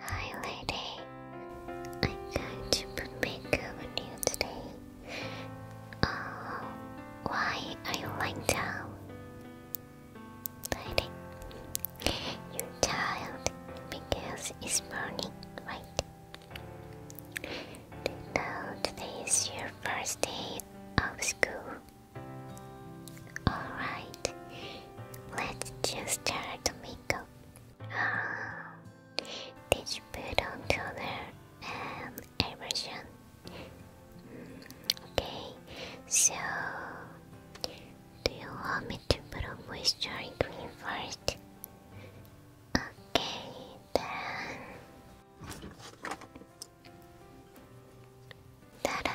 Hi, lady. I'm going to put makeup on you today. Uh, why are you lying down? Lighting. Your child, because it's morning, right? Now today is your first day of school. Alright, let's just start the makeup. Oh, ah, did you put on toner and aversion? Hmm, okay, so do you want me to put a moisture cream first? Okay, then. Ta-da!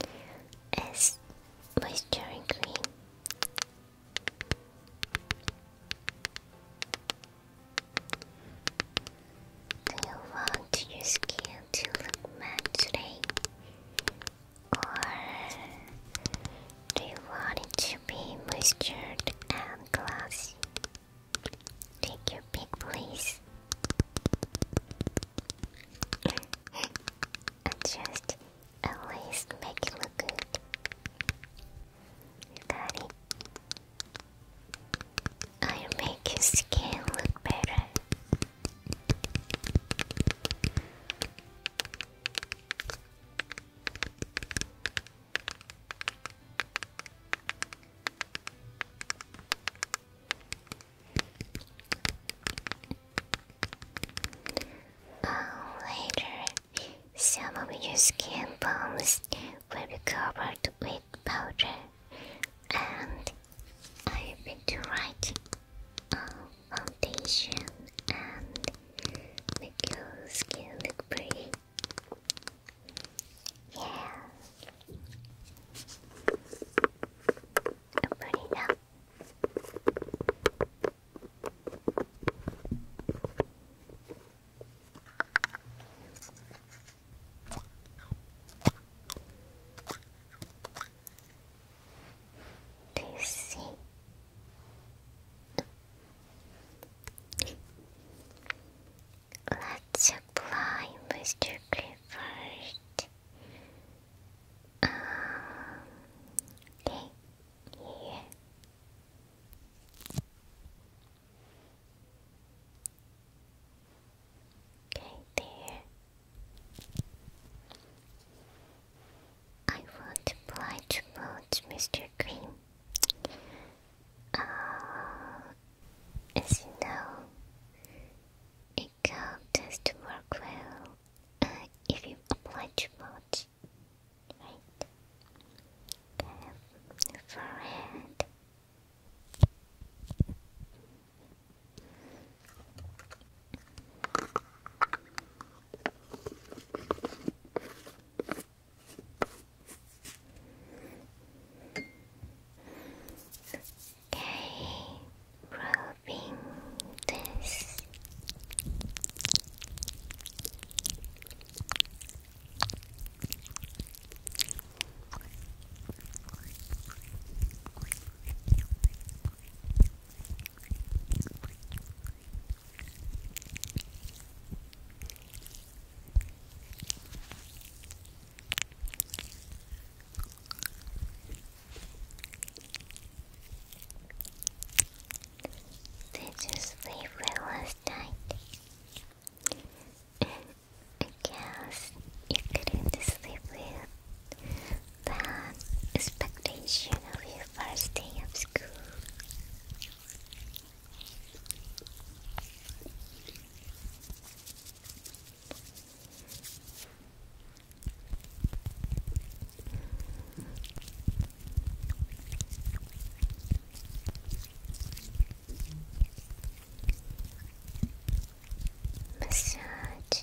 Do you want your skin to look matte today? or do you want it to be moisturized and glossy? Take your pick, please. and just at make it look good. You got it. I'll make your skin look better later, some of your skin bones will be covered with powder, and I have been to write a foundation and make your skin look pretty. Yeah. pretty now. Lucy. Let's apply, Mr. Clifford. Um, okay, here. Okay, there. I won't oblige much, Mr. Green. Uh, as you know, a girl tends to work well uh, if you apply to much, right? Okay, forehead. Okay, rubbing this. Did you sleep well last night? I guess you couldn't sleep well the expectation of your first day of school. Massage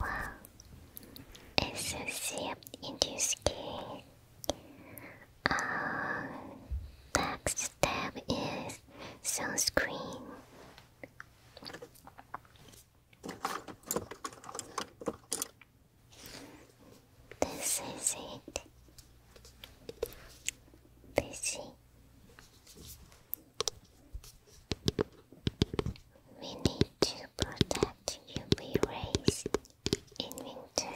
wow. It's a syrup induced cake. Uh, next step is sunscreen. This is it. Busy. We need to protect UV rays in winter.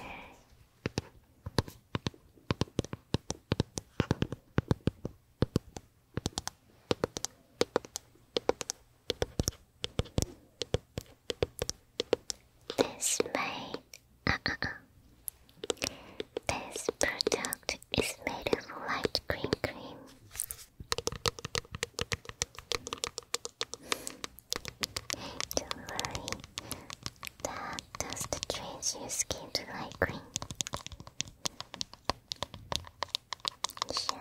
This made uh, uh, uh, This product is made of light green cream. Don't worry, that dust change your skin to light green. Sure.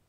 eight, here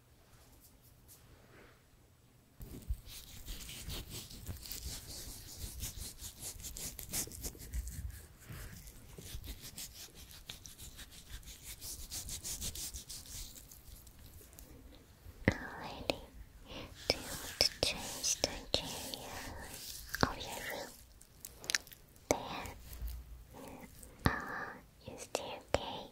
Alrighty, do you want to change the interior of your room? There, uh, is there okay?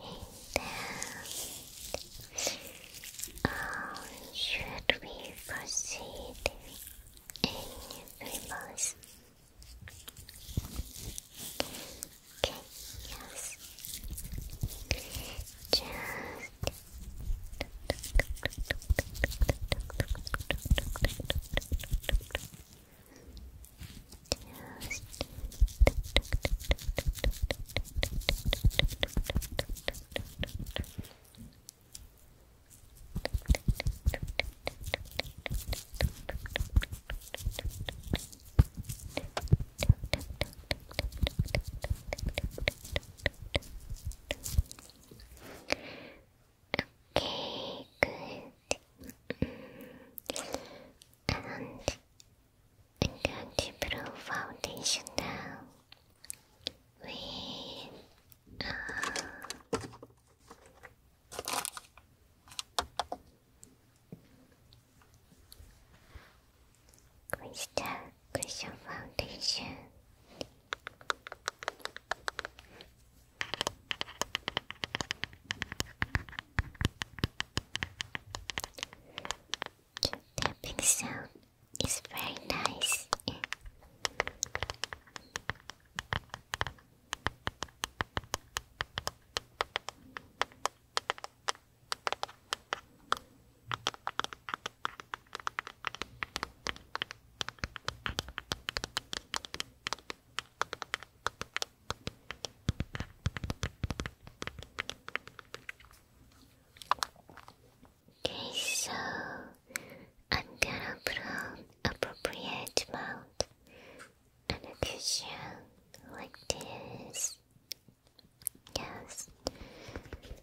Oh, should we proceed in reverse? Okay, yes. Just just Okay, good. Mm-hmm. and I'm going to put foundation down with uh, crystal foundation tapping sound is very nice. Okay, so I'm gonna put on appropriate amount and cushion like this. Yes. Okay.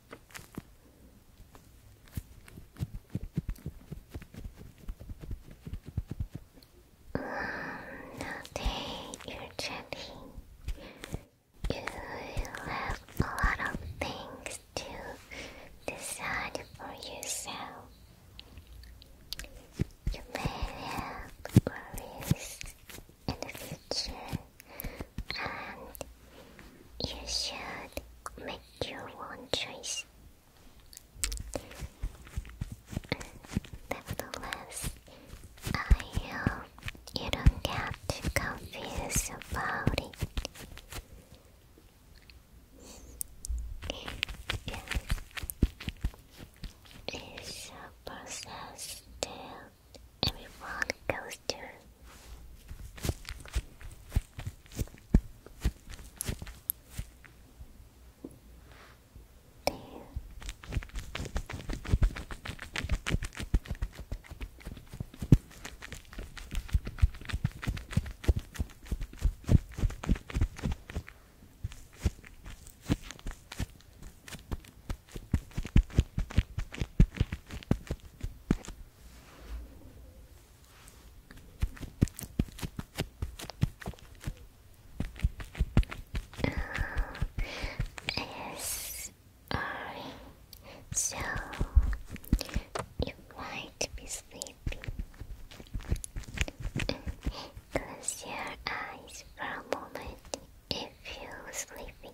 now that you're chatting, you have a lot of things to decide for yourself. You may have worries in the and you should make your own choice. Nevertheless, I hope you don't get too confused about it. Yes. It's a process that everyone goes character. There. Uh, So you might be sleepy. Close your eyes for a moment if you're sleeping.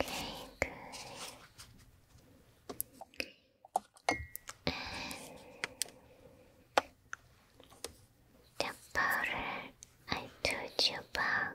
Okay, good. And the powder I told you about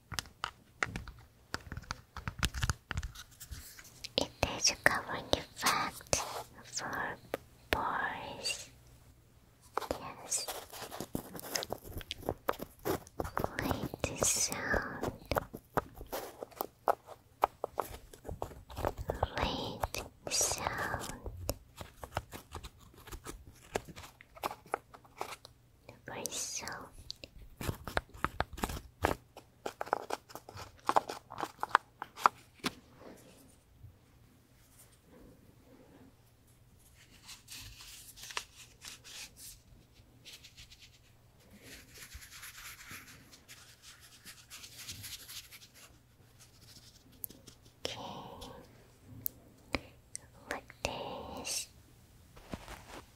It is a covering effect for boys. Yes. Like sound. Late sound myself. Okay, like this.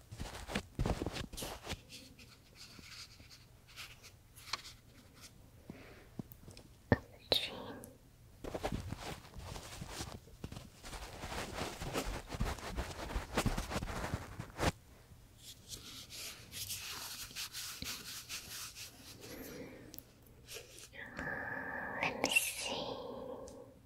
of let me see.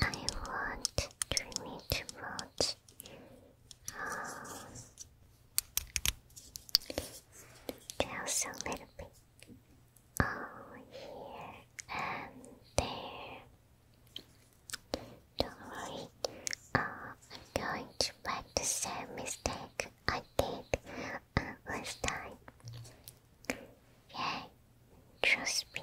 I want to meet about um, a little bit over oh, here and there. Don't worry, uh, I'm going to make the same mistake I did uh, last time. Yeah, trust me.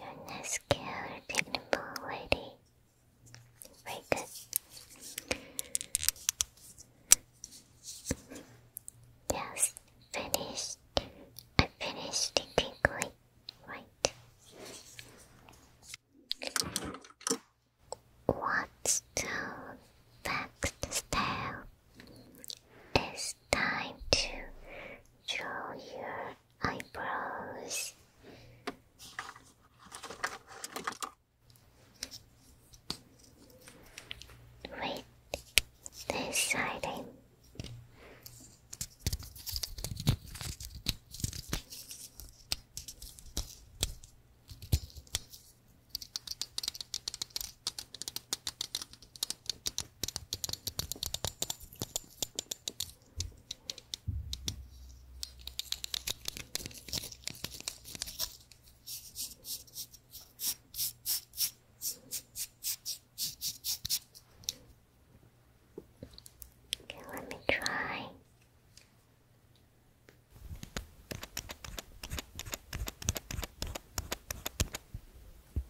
You're not scared, technical lady. Very good. Yes, finished. I finished quickly. Right. What's the back style? Is time to draw your eyebrows. Wait, this side Okay, let me try.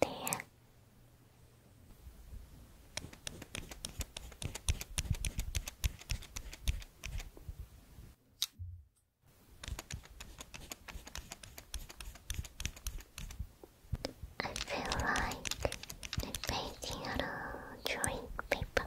there. I feel like painting on a drawing paper.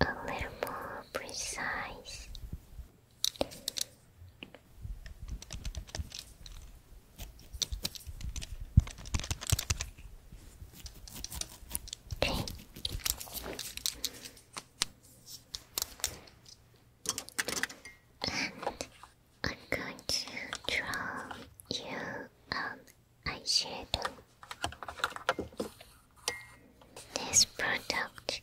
A little more precise. I'm going to draw you an um, eyeshadow. This product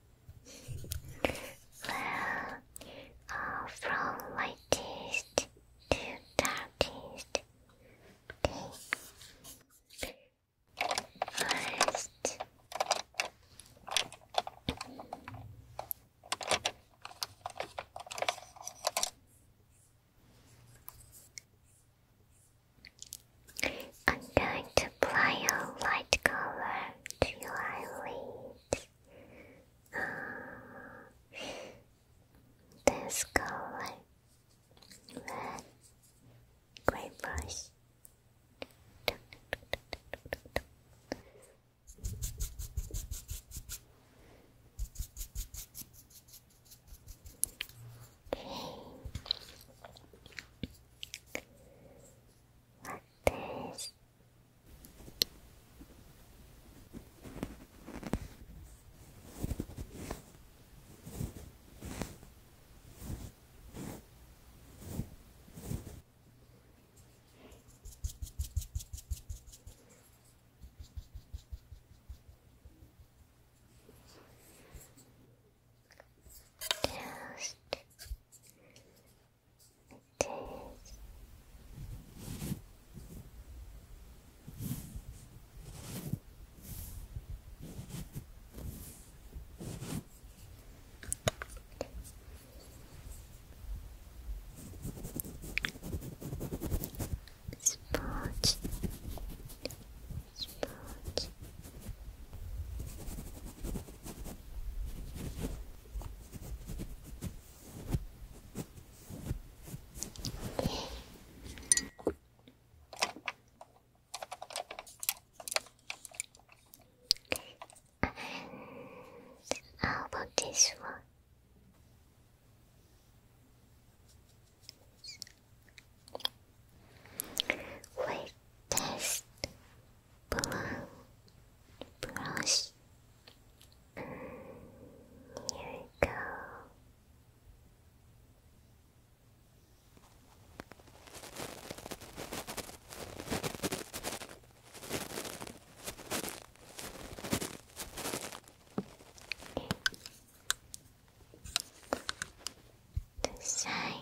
well, uh, from lightest to darkest. Okay. First, I'm going to apply a light color to your eyelids. Ah, this color, red, gray brush. 私 just this. Sponge, sponge, and how about this one? Wait. test brown brush. Here we go. The side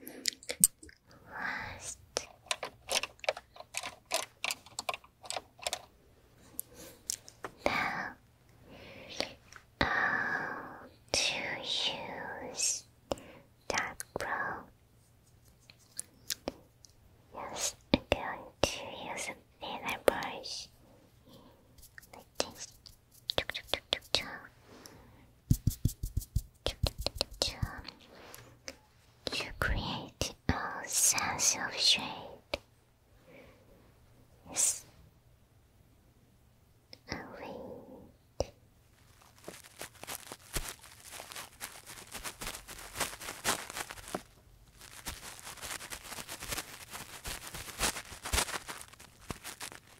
Good. Last. Now, how to use that pro? I'm going to use a feather brush like this. You create a sense of shade. Yes. Oh, wait.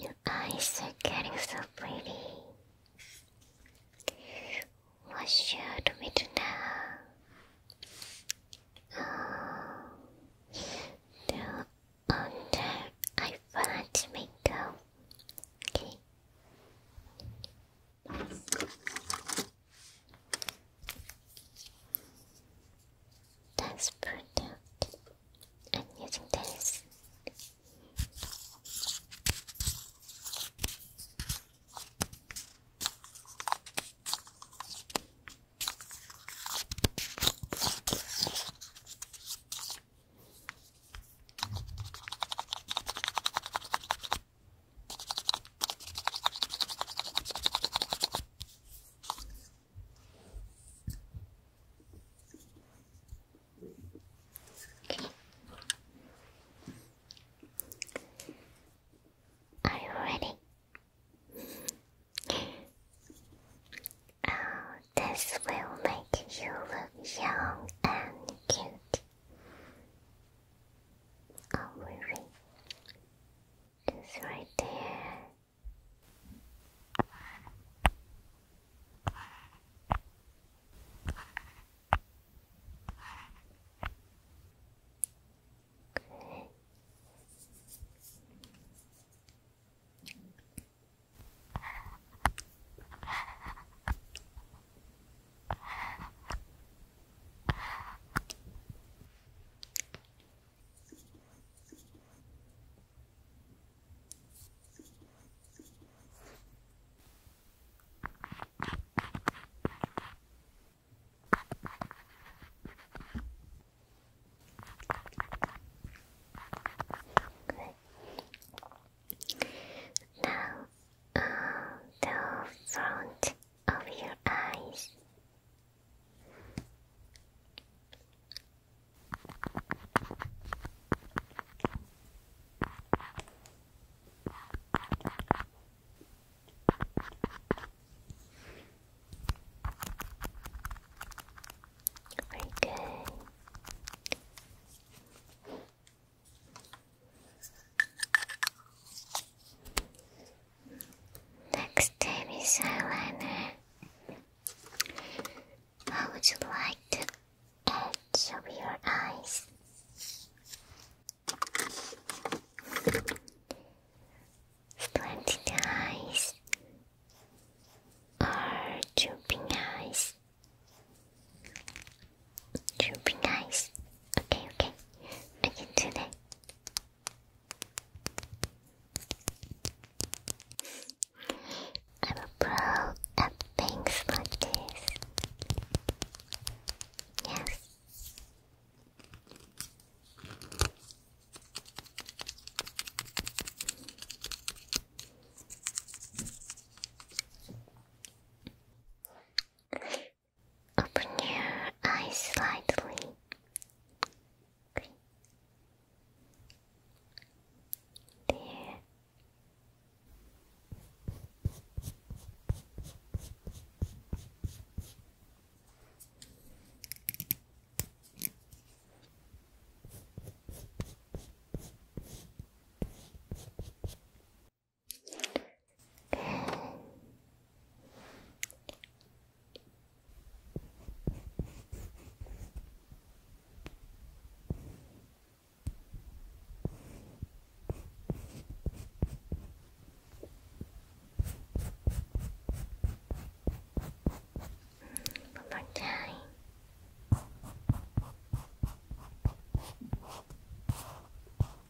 Your eyes are getting so pretty. What should we do now? Oh, uh, no wonder I want Okay. That's product. I'm using this. Are you ready? Oh, this will make you look young and cute. I'm really? Just right there. Okay. Good. Now, uh, the front of your eyes. Very Next time is eyeliner. How would you like to edge of your eyes? Slanted eyes Are drooping eyes? Drooping eyes. Okay, okay. I can do I'm a pro at things like this. Yes. Open your eyes slightly. There. One more time. Good.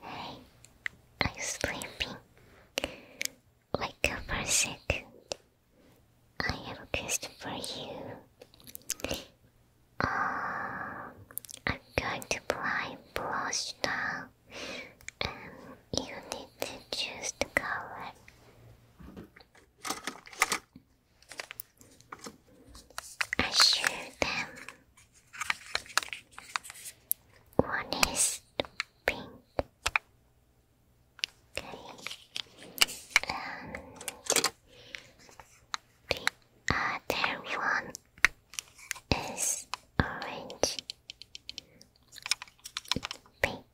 Hey, I'm sleeping. Wake up for a second. I have a question for you. Um, I'm going to apply blush now, and you need to choose the color. I show them. One is pink. And the other one is orange. Pink.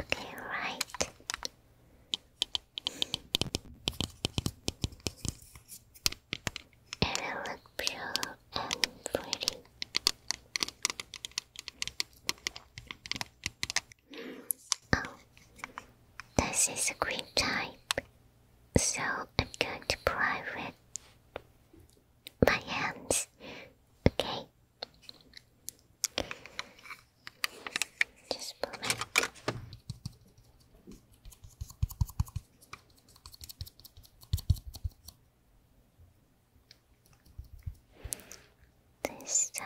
Okay, right. And it looked pure and pretty. Oh, this is a green type, so I'm going to pry with my hands, okay? Just a this side.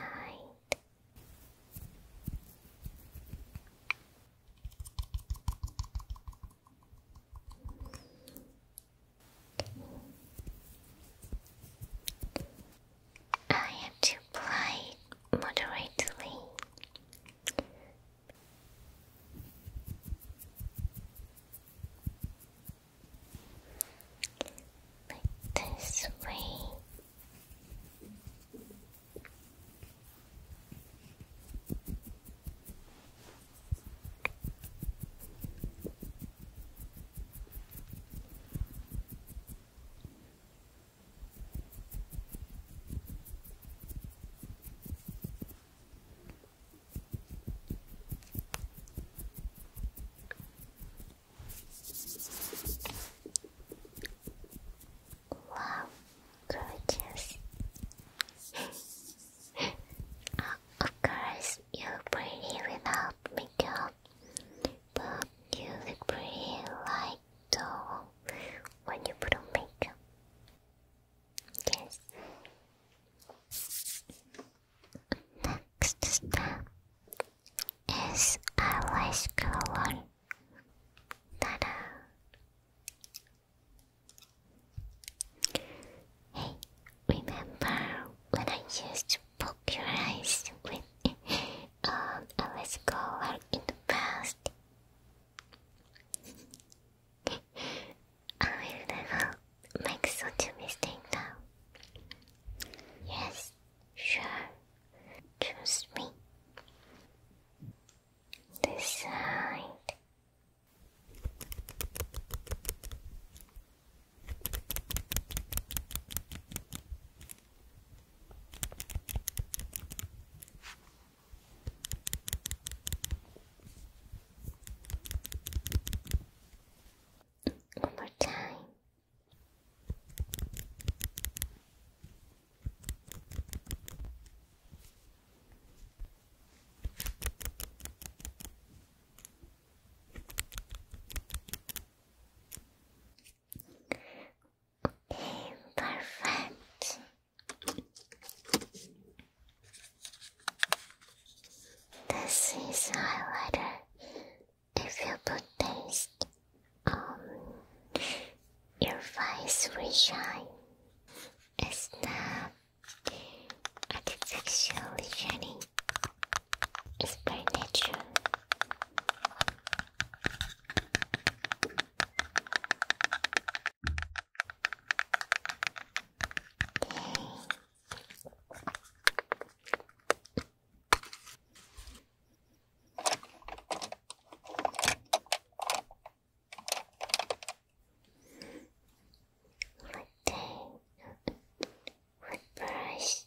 I have to apply moderately like this way. Wow, gorgeous. Uh, of course, you're pretty without makeup, but you look pretty like dull when you put on makeup. Yes. Next step is eyelash color. ta Hey, remember when I used to poke your eyes with um, eyelash color in the past? I will never make such a mistake now. Yes, sure. Trust me. This one more time. Okay, perfect. This is highlighter. If you put this on your face we shine. It's not artificially shining. It's by nature. What brush?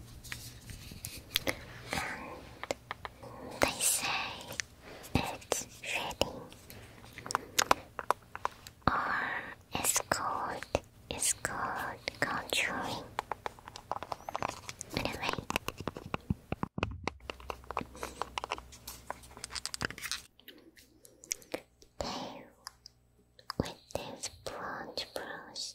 they say it's ready. Or it's called, it's called culturing. Anyway. They, with this bronze brush,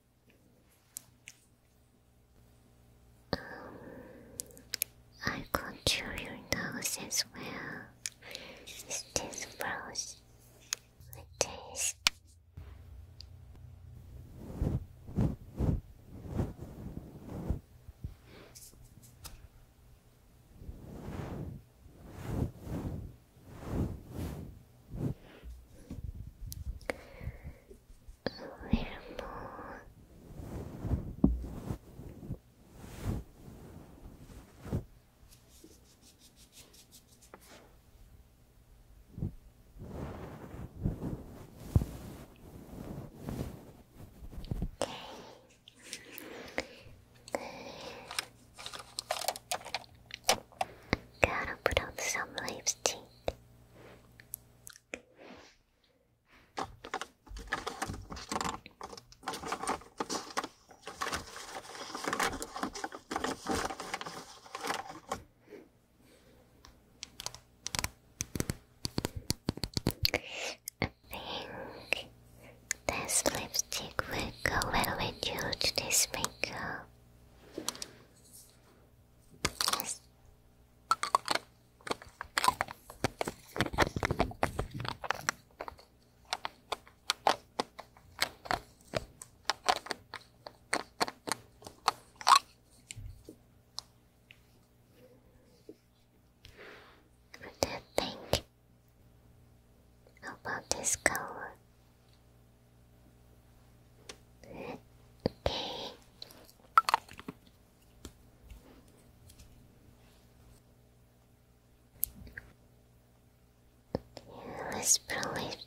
Um, I control your nose as well. this froze? this. A little Okay. Gotta put on some lipstick. I think this lipstick will go well with you to makeup. What do you think about this color? Okay. Yeah, let's pro lifting.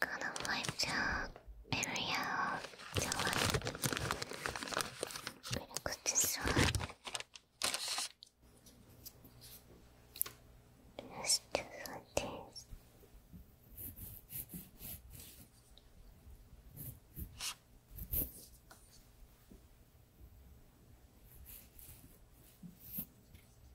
kind of wipe the area out. The do this.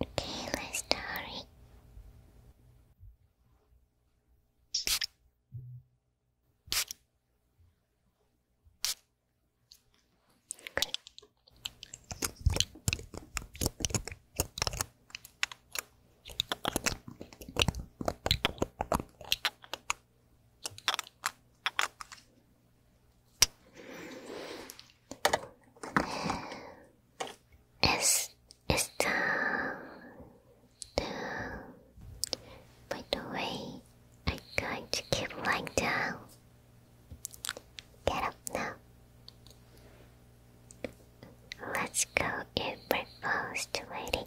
Okay, let's start. It's está the, by the way I got to keep lying down. Get up now. Let's go eat breakfast, lady.